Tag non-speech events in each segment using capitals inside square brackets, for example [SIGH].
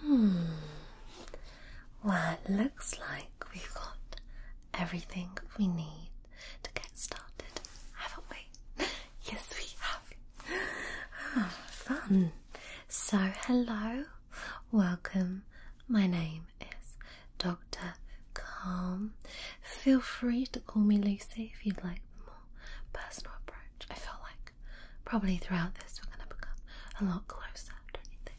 Hmm. Well, it looks like we've got everything we need to get started, haven't we? [LAUGHS] yes, we have. [SIGHS] fun. So, hello, welcome. My name is Dr. Calm. Feel free to call me Lucy if you'd like the more personal approach. I feel like probably throughout this we're going to become a lot closer, don't you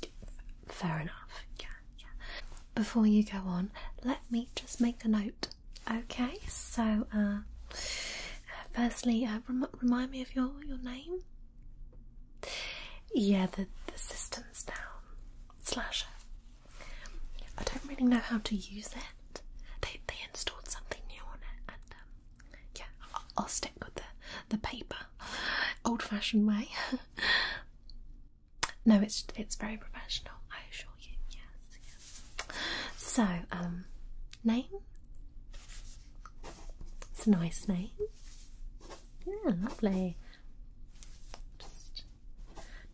think? Fair enough, yeah, yeah. Before you go on, let me just make a note, okay? So, uh, firstly, uh, remind me of your, your name. Yeah, the, the system's down. Slasher. I don't really know how to use it. They they installed something new on it, and um, yeah, I'll, stick with the the paper, old-fashioned way. [LAUGHS] no, it's it's very professional. I assure you. Yes, yes. So, um, name. It's a nice name. Yeah, lovely. Just,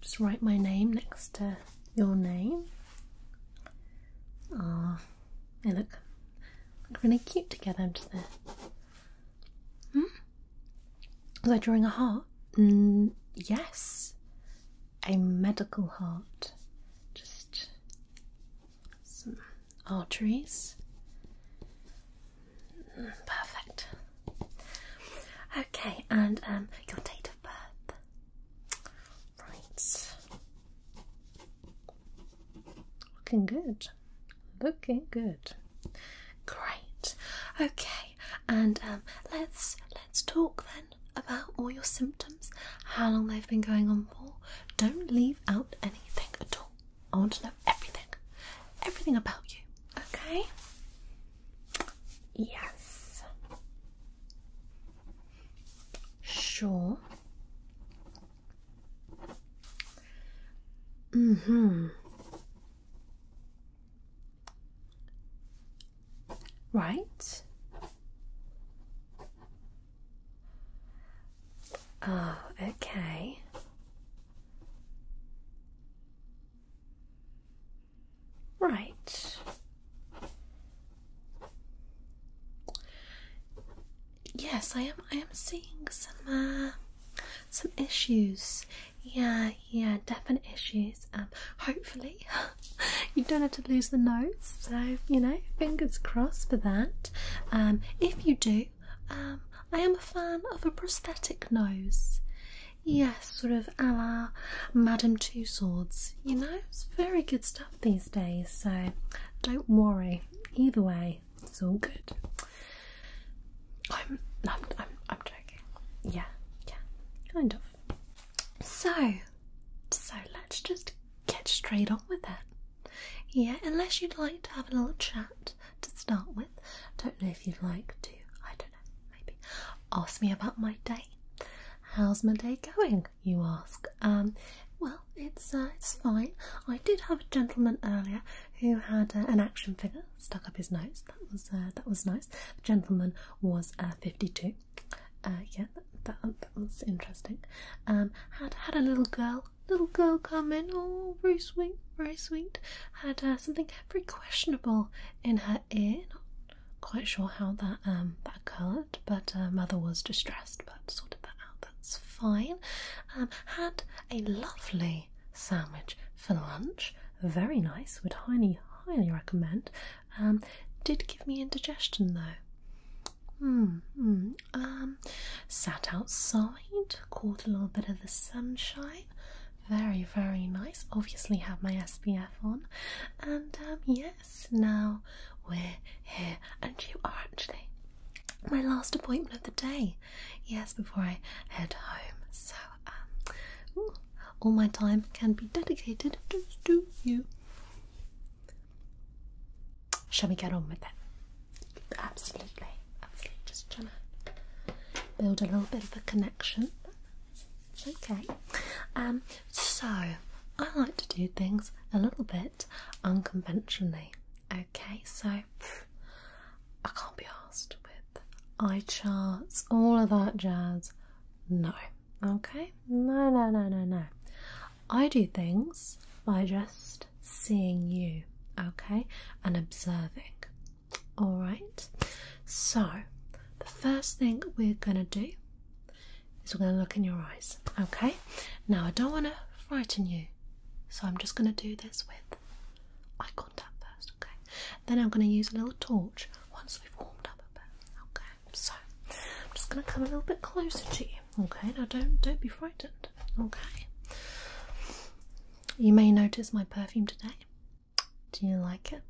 just write my name next to your name. Oh, they look, really cute together, Hmm? Was I drawing a heart? Mm, yes, a medical heart. Just some arteries. Mm, perfect. Okay, and um, your date of birth. Right. Looking good. Looking good. Great. Okay. And um, let's let's talk then about all your symptoms, how long they've been going on for. Don't leave out anything at all. I want to know everything. Everything about you. Okay? Yes. Sure. Mm hmm. Right. Oh, okay. Right. Yes, I am. I am seeing some uh, some issues. Yeah, yeah, definite issues. Um, hopefully, [LAUGHS] you don't have to lose the nose. So you know, fingers crossed for that. Um, if you do, um, I am a fan of a prosthetic nose. Yes sort of a la Madame Two Swords. You know, it's very good stuff these days, so don't worry. Either way, it's all good. I'm, I'm, I'm, I'm joking. Yeah, yeah, kind of. So, so let's just get straight on with it. Yeah, unless you'd like to have a little chat to start with. Don't know if you'd like to. I don't know maybe ask me about my day. How's my day going? You ask. Um, well, it's uh, it's fine. I did have a gentleman earlier who had uh, an action figure stuck up his nose. That was uh, that was nice. The gentleman was fifty-two. yeah, that, um, that, was interesting. Um, had had a little girl, little girl come in. Oh, very sweet, very sweet. Had uh, something very questionable in her ear quite sure how that um that occurred, but uh, mother was distressed, but sorted that out. That's fine. Um, had a lovely sandwich for lunch. Very nice. Would highly highly recommend. Um, did give me indigestion though. Hmm, hmm. Um, sat outside, caught a little bit of the sunshine. Very, very nice. Obviously, had my SPF on, and um, yeah, now we're here, and you are actually my last appointment of the day. Yes, before I head home. So, um, all my time can be dedicated to you. Shall we get on with it? Absolutely, absolutely. Just trying to build a little bit of a connection. Okay, um, so I like to do things a little bit unconventionally. Okay, so I can't be asked with eye charts, all of that jazz. No, okay, no, no, no, no, no. I do things by just seeing you, okay, and observing. All right, so the first thing we're going to do is we're going to look in your eyes. Okay? Now, I don't want to frighten you, so I'm just going to do this with eye contact first. Okay? Then I'm going to use a little torch once we've warmed up a bit. Okay? So I'm just going to come a little bit closer to you. Okay? Now, don't don't be frightened. Okay? You may notice my perfume today. Do you like it?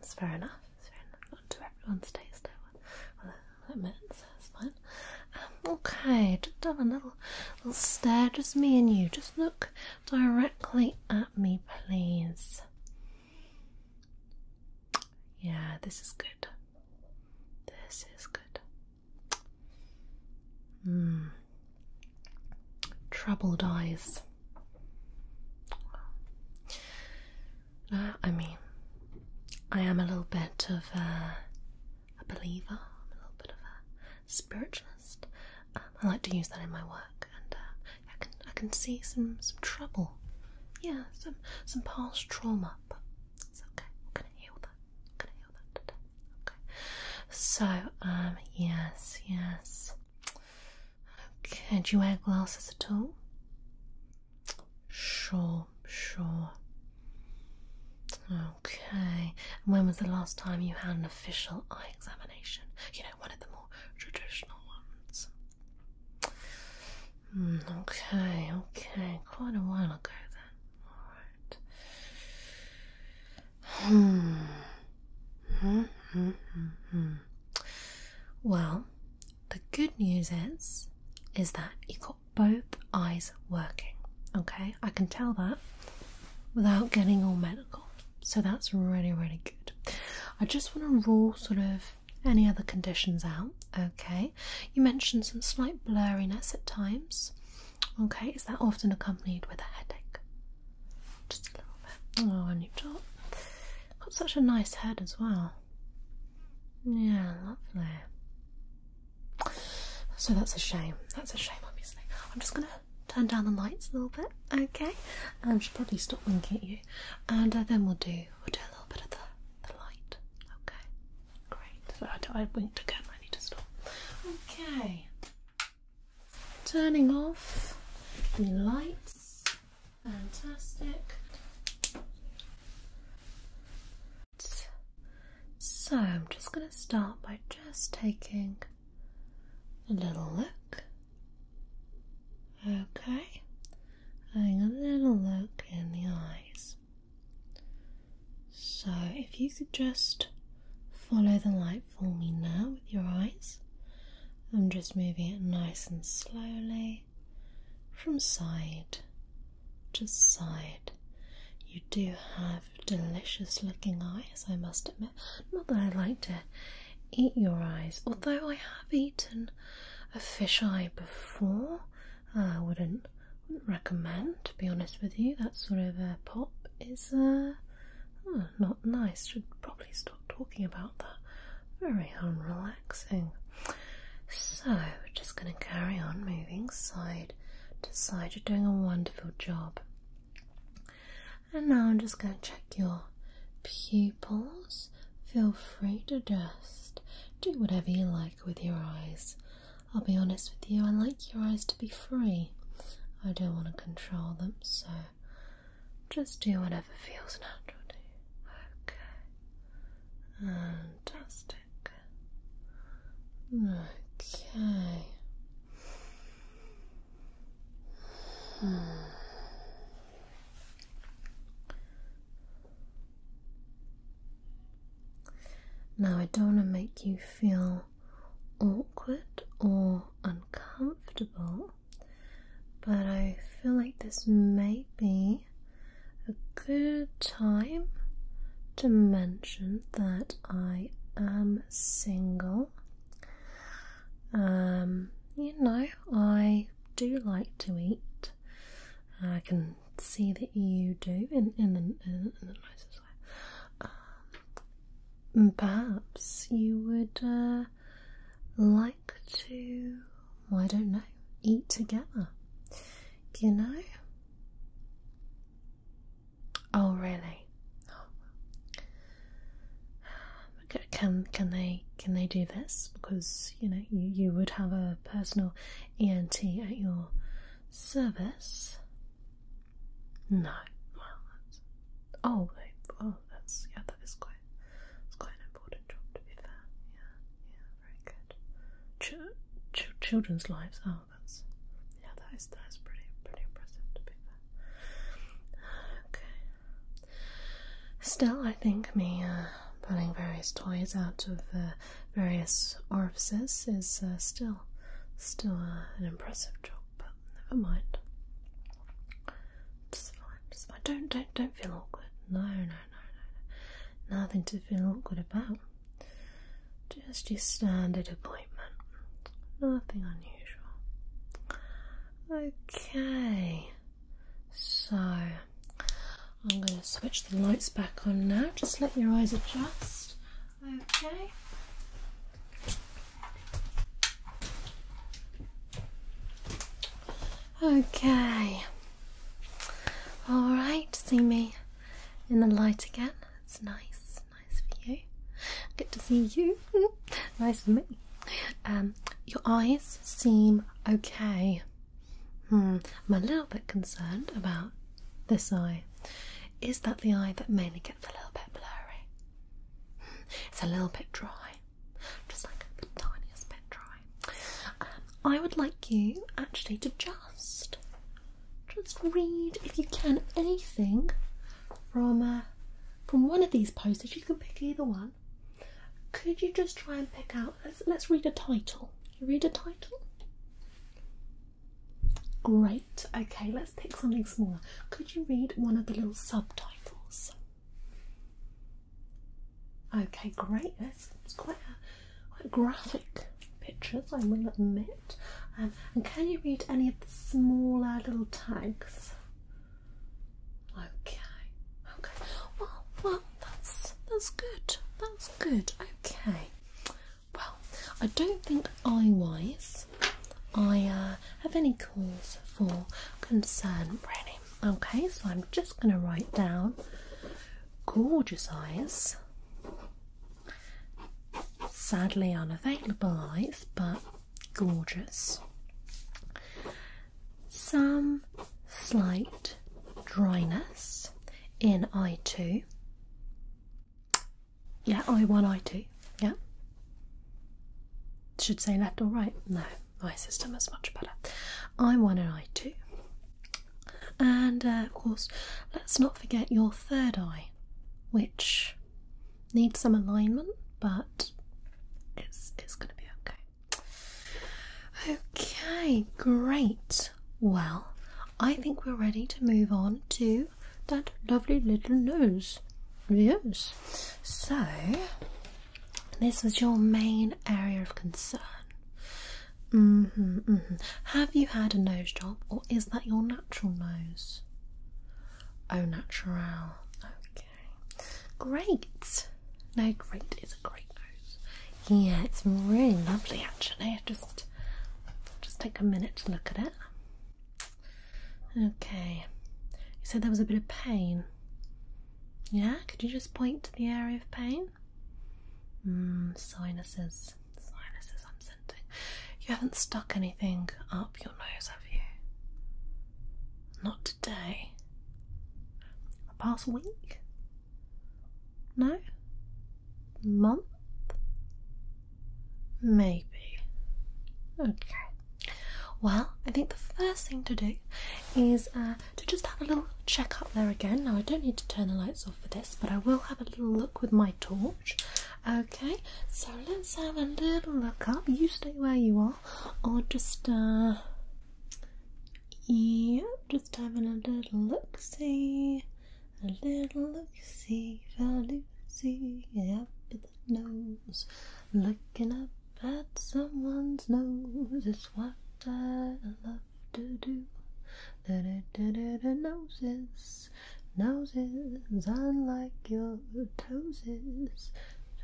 It's fair enough. It's fair enough. Not to everyone's taste, I will admit, so it's fine. Um, okay, just have a little, little stare, just me and you. Just look directly at me, please. Yeah, this is good. This is good. Mm troubled eyes. I mean, I am a little bit of a, believer, I'm a little bit of a spiritualist. Um, I like to use that in my work, and uh, I can I can see some some trouble. Yeah, some some past trauma, but it's okay. We're gonna heal that. We're gonna heal that Okay. So, um, yes, yes. Can't you wear glasses at all? Sure, sure. Okay. When was the last time you had an official eye examination? You know, one of the more traditional ones. Hmm, okay, okay. Quite a while ago then. Alright. Hmm. Mm -hmm, -hmm. Well, the good news is is that you got both eyes working. Okay, I can tell that without getting all medical. So that's really, really good. I just want to rule sort of any other conditions out. Okay, you mentioned some slight blurriness at times. Okay, is that often accompanied with a headache? Oh, and you've got, got such a nice head as well. Yeah, lovely. So that's a shame. That's a shame, obviously. I'm just going to turn down the lights a little bit, okay? I um, should probably stop winking at you. And uh, then we'll do we'll do a little bit of the, the light, okay? Great. So I, I winked again. I need to stop. Okay turning off the lights. Fantastic. So I'm just going to start by just taking a little look. Okay, having a little look in the eyes. So if you could just follow the light for me now with your eyes. I'm just moving it nice and slowly from side to side. You do have delicious looking eyes, I must admit. Not that I like to eat your eyes, although I have eaten a fish eye before. Uh, I wouldn't, recommend, to be honest with you. That sort of pop is a. Uh, Oh, not nice. Should probably stop talking about that. Very unrelaxing. So, just going to carry on moving side to side. You're doing a wonderful job. And now I'm just going to check your pupils. Feel free to just do whatever you like with your eyes. I'll be honest with you, I like your eyes to be free. I don't want to control them, so just do whatever feels natural to you. Okay. Fantastic. Okay. Hmm. Now, I don't want to make you feel awkward or uncomfortable, but I feel like this may be a good time to mention that I am single. Um, you know, I do like to eat. I can see that you do in in, the nicest Perhaps you would uh, like to, well, I don't know, eat together. You know? Oh, really? [SIGHS] Can can they can they do this? Because you know you, you would have a personal ENT at your service. No, well, Oh, wait, oh, that's, yeah, that is quite, that's quite an important job, to be fair. Yeah, yeah, very good. children's lives, oh, that's, yeah, that is, that is pretty, pretty impressive, to be fair. Okay. Still, I think me, uh, putting various toys out of uh, various orifices is uh, still, still an impressive job but never mind. It's fine, it's fine. Don't don't don't feel awkward. No, no, no, no, Nothing to feel awkward about. Just your standard appointment. Nothing unusual. Okay. So I'm gonna switch the lights back on now, just let your eyes adjust. Okay. Okay. All right, see me in the light again. It's nice, nice for you. Good to see you. [LAUGHS] nice for me. Um, your eyes seem okay. Hmm, I'm a little bit concerned about this eye. Is that the eye that mainly gets a little bit blurry? It's a little bit dry, just like the tiniest bit dry. Um, I would like you actually to just, just read if you can anything from uh, from one of these posters. you can pick either one, could you just try and pick out? Let's, let's read a title. You read a title. Great. Okay, let's pick something smaller. Could you read one of the little subtitles? Okay, great. it's quite a, quite graphic pictures, I will admit. Um, and can you read any of the smaller little tags? Okay. Okay. Well, well, that's that's good. That's good. Okay. Well, I don't think eye-wise I uh, have any cause for concern, really. Okay, so I'm just going to write down gorgeous eyes. Sadly unavailable eyes, but gorgeous. Some slight dryness in eye 2. Yeah, I one, I two. Yeah. Should say left or right. No, my system is much better. I one and I two. And of course, let's not forget your third eye, which needs some alignment, but it's it's going to be okay. Okay, great. Well, I think we're ready to move on to that lovely little nose. Yes. So, this was your main area of concern. Mm-hmm, mm-hmm. Have you had a nose job, or is that your natural nose? Oh, natural. Okay. Great. No, great is a great nose. Yeah, it's really lovely actually. Just, just take a minute to look at it. Okay, you said there was a bit of pain. Yeah, could you just point to the area of pain? Mmm, sinuses. Sinuses, I'm scenting. You haven't stuck anything up your nose, have you? Not today. The past week? No? month? Maybe. Okay. Well, I think the first thing to do is uh, to just have a little check up there again. Now, I don't need to turn the lights off for this, but I will have a little look with my torch. Okay, so let's have a little look up. You stay where you are, or just, uh, yeah, just having a little look see. A little look-see, see up at the nose, looking up at someone's nose is what I love to do. Da da da da da noses, noses unlike your toeses,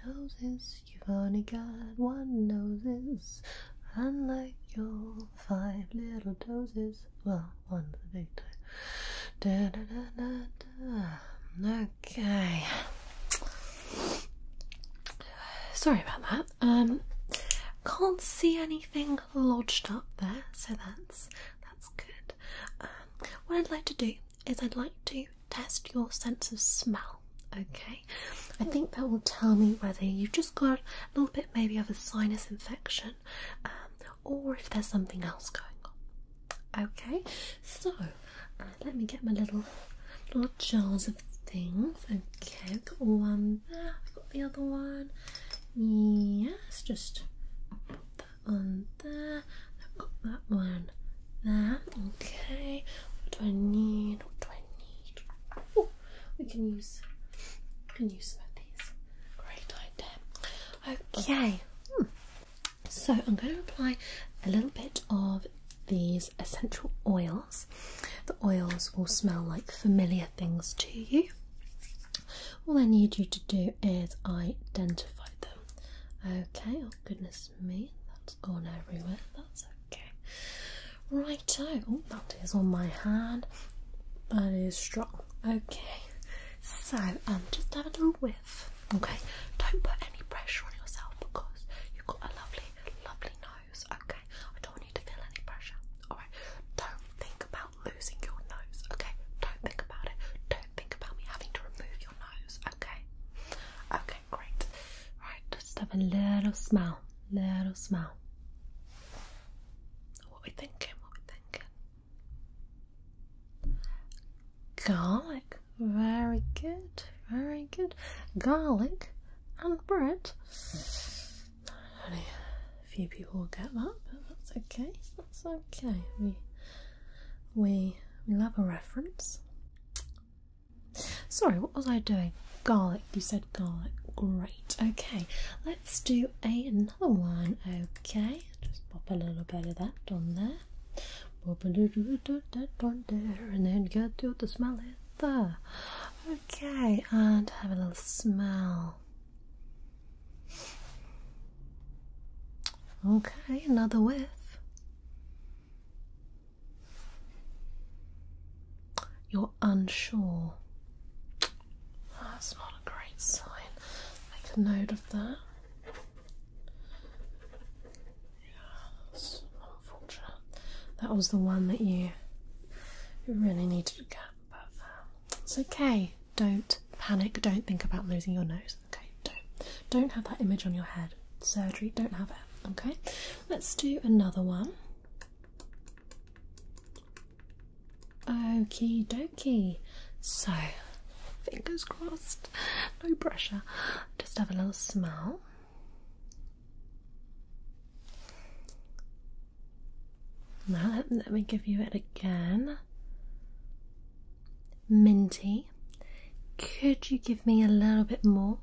toeses. you've only got one noses, unlike your five little toeses is well on the big toe. Okay. Sorry about that. Um, can't see anything lodged up there, so that's that's good. Um, what I'd like to do is I'd like to test your sense of smell. Okay, I think that will tell me whether you've just got a little bit maybe of a sinus infection, um, or if there's something else going on. Okay, so uh, let me get my little little jars of things. Okay, got one there, I've got the other one. Yes, just put that on there. I've got that one there. Okay, what do I need? What do I need? Oh, we can use we can use some of these. Great idea. Okay, so I'm going to apply a little bit of these essential oils. The oils will smell like familiar things to you. All I need you to do is identify them. Okay, oh goodness me, that's gone everywhere. That's okay. Righto, oh, that is on my hand. That is strong. Okay, so um, just have a little whiff. Okay, don't put any pressure on yourself because you've got a lovely, lovely nose. Okay, I don't need to feel any pressure. All right, don't think about losing your nose. Okay, don't think about it. Don't think about me having to remove your nose. Okay, okay, great. Right, just have a little smell, little smell. What are we thinking? What are we thinking? Garlic, very good, very good. Garlic and bread. Only a few people will get that, but that's okay. That's okay. We we we love a reference. Sorry, what was I doing? Garlic. You said garlic. Great. Okay, let's do a another one. Okay, just pop a little bit of that on there. Pop a little bit of that on there, and then get you to smell it there. Okay, and have a little smell. Okay, another whiff. You're unsure. That's not a great sign. Make a note of that. Yeah, unfortunate. That was the one that you really needed to get, but uh, it's okay. Don't panic. Don't think about losing your nose. Okay, don't don't have that image on your head. Surgery, don't have it. Okay, let's do another one. Okie dokey. So, fingers crossed, no pressure. Just have a little smell. Now, let, me give you it again. Minty. Could you give me a little bit more?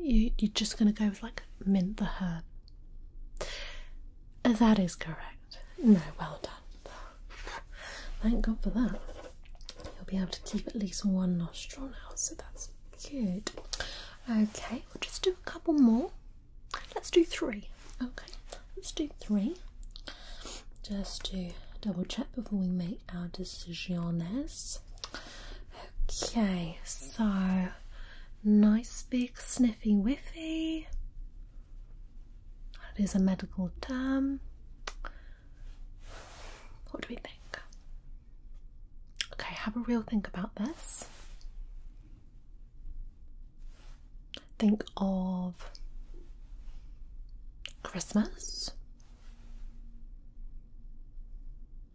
you're just going to go with like mint the herb. That is correct. No, well done. Thank God for that. You'll be able to keep at least one nostril now, so that's good. Okay, we'll just do a couple more. Let's do three. Okay, let's do three. Just to double check before we make our decisiones. Okay, so nice big sniffy whiffy. That is a medical term. What do we think? Okay, have a real think about this. Think of Christmas.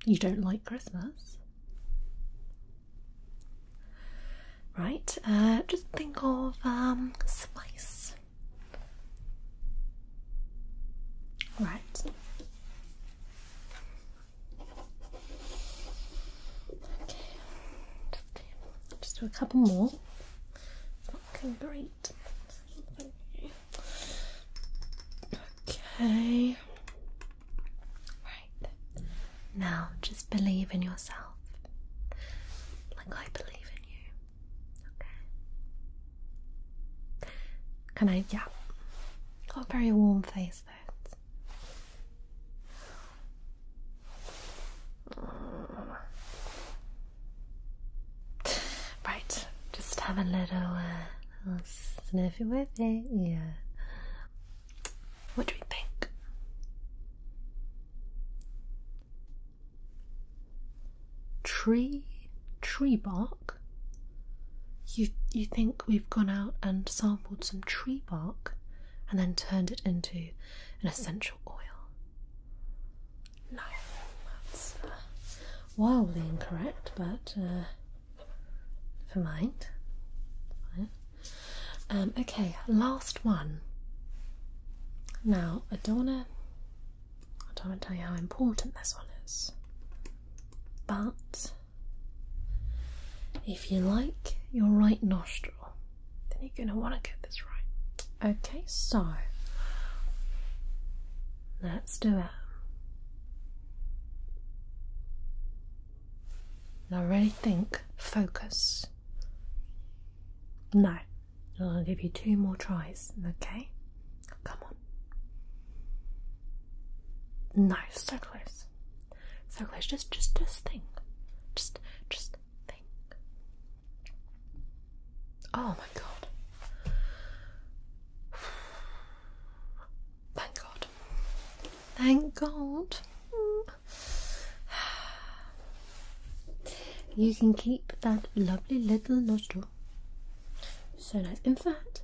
You don't like Christmas. Right, uh, just think of um, spice. Right. Okay, just do, a couple more. It's looking great. Okay. Now just believe in yourself. Like I believe in you. Okay. Can I yeah. Got a very warm face though. [SIGHS] Right, just have a little uh, sniffy with it, yeah. What do we think? Tree, tree bark. You you think we've gone out and sampled some tree bark, and then turned it into an essential oil? No, that's uh, wildly incorrect, but uh, for mind. Um, okay, last one. Now, I don't wanna, I don't wanna tell you how important this one is, but if you like your right nostril, then you're gonna wanna get this right. Okay, so let's do it. I really think focus. No, I'll give you two more tries, okay? Come on. No, so close. So close. Just just just think. Just just think. Oh my god. Thank God. Thank God. You can keep that lovely little nostril. So nice. In fact,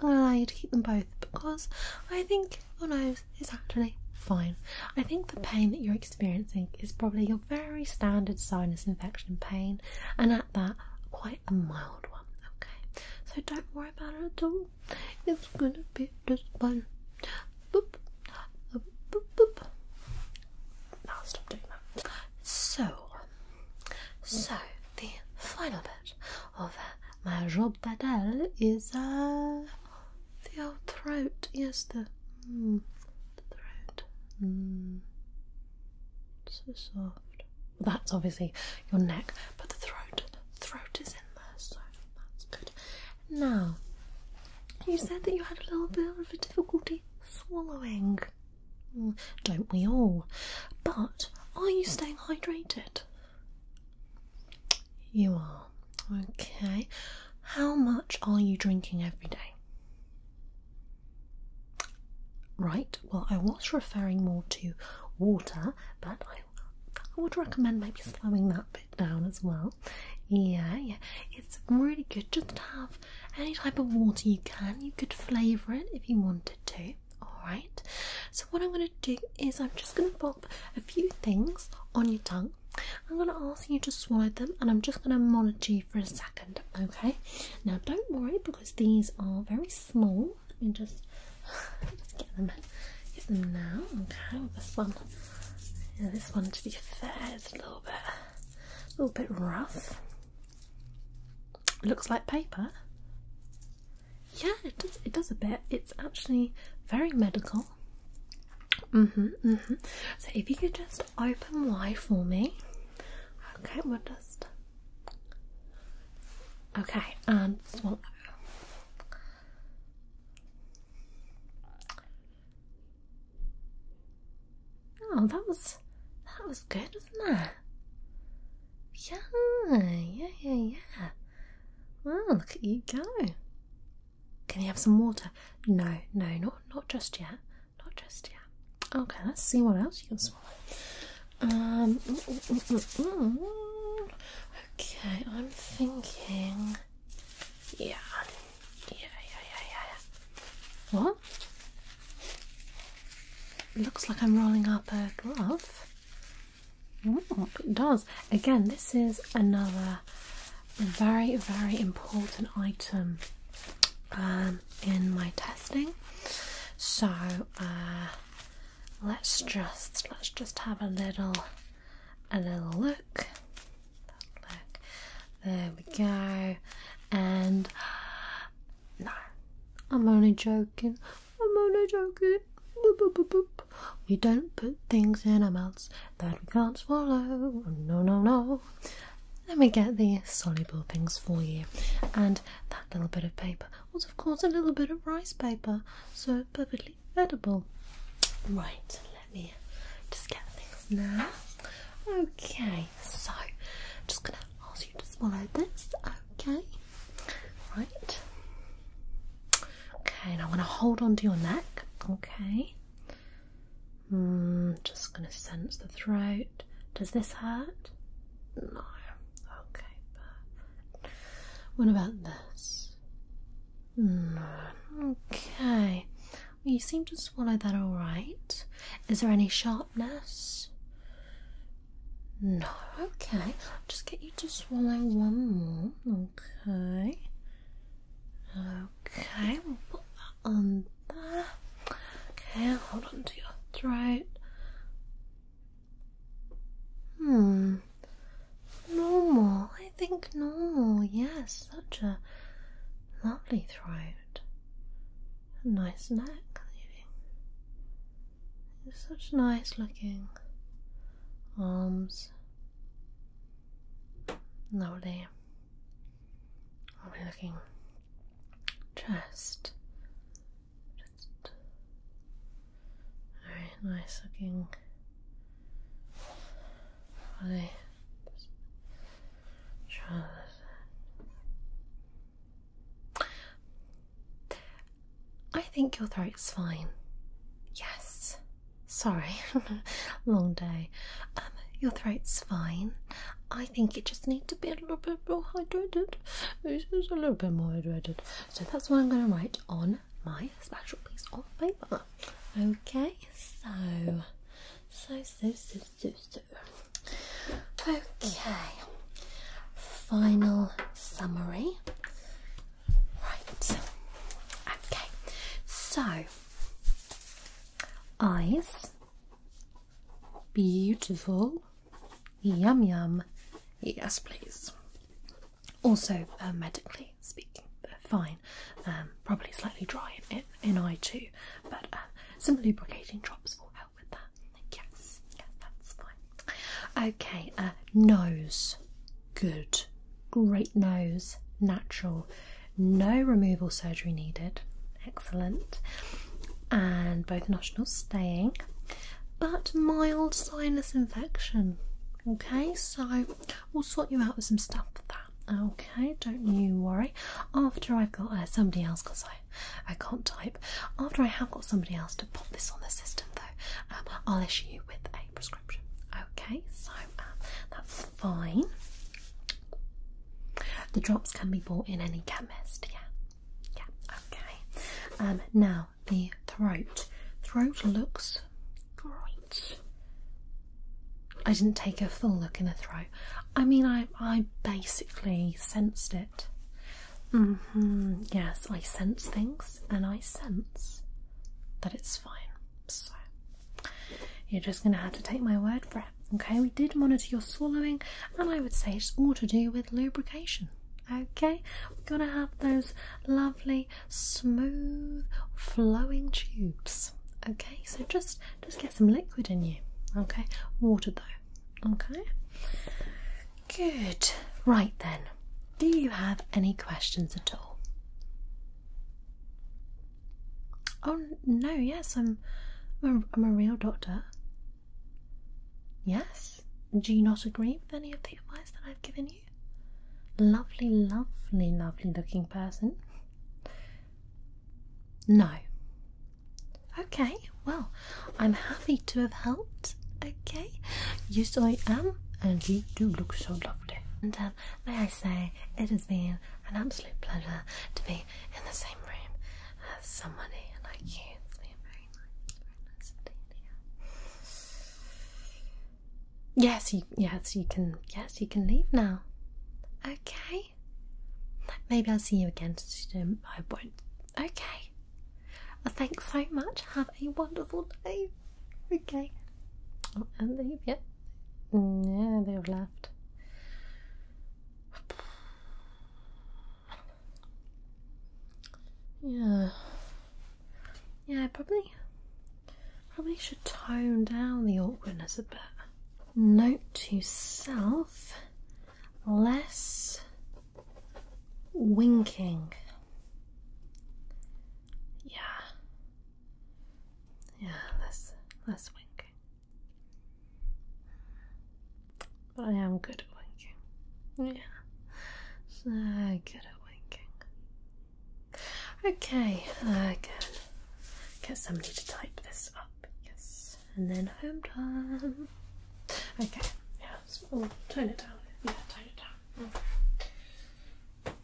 I'll allow you to keep them both because I think your nose It's actually fine. I think the pain that you're experiencing is probably your very standard sinus infection pain, and at that, quite a mild one. Okay, so don't worry about it at all. It's gonna be just one. Uh, now stop doing that. So, so the final bit of my job badal is uh, the old throat. Yes, the, hmm, throat. Hmm. so soft that's obviously your neck, but the throat, throat is in there, so that's good. Now, you said that you had a little bit of a difficulty swallowing. Mm, don't we all? But are you staying hydrated? You are. Okay. How much are you drinking every day? Right well, I was referring more to water, but I, I would recommend maybe slowing that bit down as well. Yeah, yeah, it's really good just to have any type of water you can. You could flavour it if you wanted to. Alright, so what I'm going to do is I'm just going to pop a few things on your tongue. I'm going to ask you to swallow them and I'm just going to monitor you for a second. Okay, now don't worry because these are very small. Let me just, [SIGHS] get them get them now. Okay, this one. this one to be fair is a little bit a little bit rough. looks like paper. Yeah, it does it does a bit. It's actually very medical. Mm-hmm. Mm-hmm. So if you could just open wide for me. Okay, we'll just Okay, and um, Oh, that was that was good, wasn't it? Yeah, yeah, yeah, yeah. Oh, look at you go. Can you have some water? No, no, not not just yet. Not just yet. Okay, let's see what else you can um, okay, I'm thinking. Yeah. Yeah, yeah, yeah, yeah, What? looks like I'm rolling up a glove. it does. Again, this is another very, very important item um, in my testing. So, uh, let's just let's just have a little a little look. there we go. And [GASPS] no, I'm only joking. I'm only joking. We don't put things in our mouths that we can't swallow. No, no, no. Let me get the soluble things for you and that little bit of paper was, of course, a little bit of rice paper, so perfectly edible. Right, let me just get things now. Okay, so I'm just gonna ask you to swallow this, okay? Right. Okay, now I'm gonna hold on to your neck, okay? Mm, just gonna sense the throat. Does this hurt? No. Okay, but what about this? Hmm, okay. you seem to swallow that all right. Is there any sharpness? No. Okay. just get you to swallow one more. Okay. Okay. We'll put that on Okay. Hold on to your throat. Hmm. Normal. I think normal. Yes, such a lovely throat. nice neck. It's such nice looking arms. Lovely. Lovely looking chest. Just... nice looking I think your throat's fine. Yes. Sorry, [LAUGHS] long day. Um, your throat's fine. I think you just needs a bit a little bit more hydrated. This is a little bit more hydrated. So that's what I'm going to write on my special piece of paper. Okay, so, so, so, so, so, so. Okay, final summary. Right, okay, so eyes, beautiful, Yum yum. Yes, please. Also, uh, medically speaking, uh, fine. Um, probably slightly dry in, eye too, but uh, some lubricating drops will help with that. Yes, yeah, that's fine. Okay, nose. Good. Great nose. Natural. No removal surgery needed. Excellent and both nostrils staying, but mild sinus infection. Okay, so we'll sort you out with some stuff for that. Okay, don't you worry. After I've got uh, somebody else, because I, I can't type, after I have got somebody else to put this on the system, though, um, I'll issue you with a prescription. Okay, so um, that's fine. The drops can be bought in any chemist, yeah. Yeah, okay. Um, now the throat. Throat looks great. I didn't take a full look in the throat. I mean, I I basically sensed it. hmm. Yes, I sense things, and I sense that it's fine. So you're just gonna have to take my word for it. Okay, we did monitor your swallowing, and I would say it's all to do with lubrication. Okay, we're gonna have those lovely, smooth, flowing tubes. Okay, so just just get some liquid in you. Okay, water though. Okay, good. Right then, do you have any questions at all? Oh no, yes, I'm. I'm I'm a real doctor. Yes? Do you not agree with any of the advice that I've given you? Lovely, lovely, lovely looking person. No. Okay, well, I'm happy to have helped. Okay? Yes, I am, and you do look so lovely. And um, may I say, it has been an absolute pleasure to be in the same room Yes. You, yes. You can. Yes. You can leave now. Okay. Maybe I'll see you again today. I won't. Okay. thanks so much. Have a wonderful day. Okay. Oh, and leave. Yep. Yeah, mm, they've left. Yeah. Yeah, probably probably should tone down the awkwardness a bit. Note to self less winking. Yeah. Yeah, less less winking. But I am good at winking. Yeah, so good at winking. Okay, again, get somebody to type this up. Yes, and then home time. Okay, yeah, turn it down. Yeah, tone it down.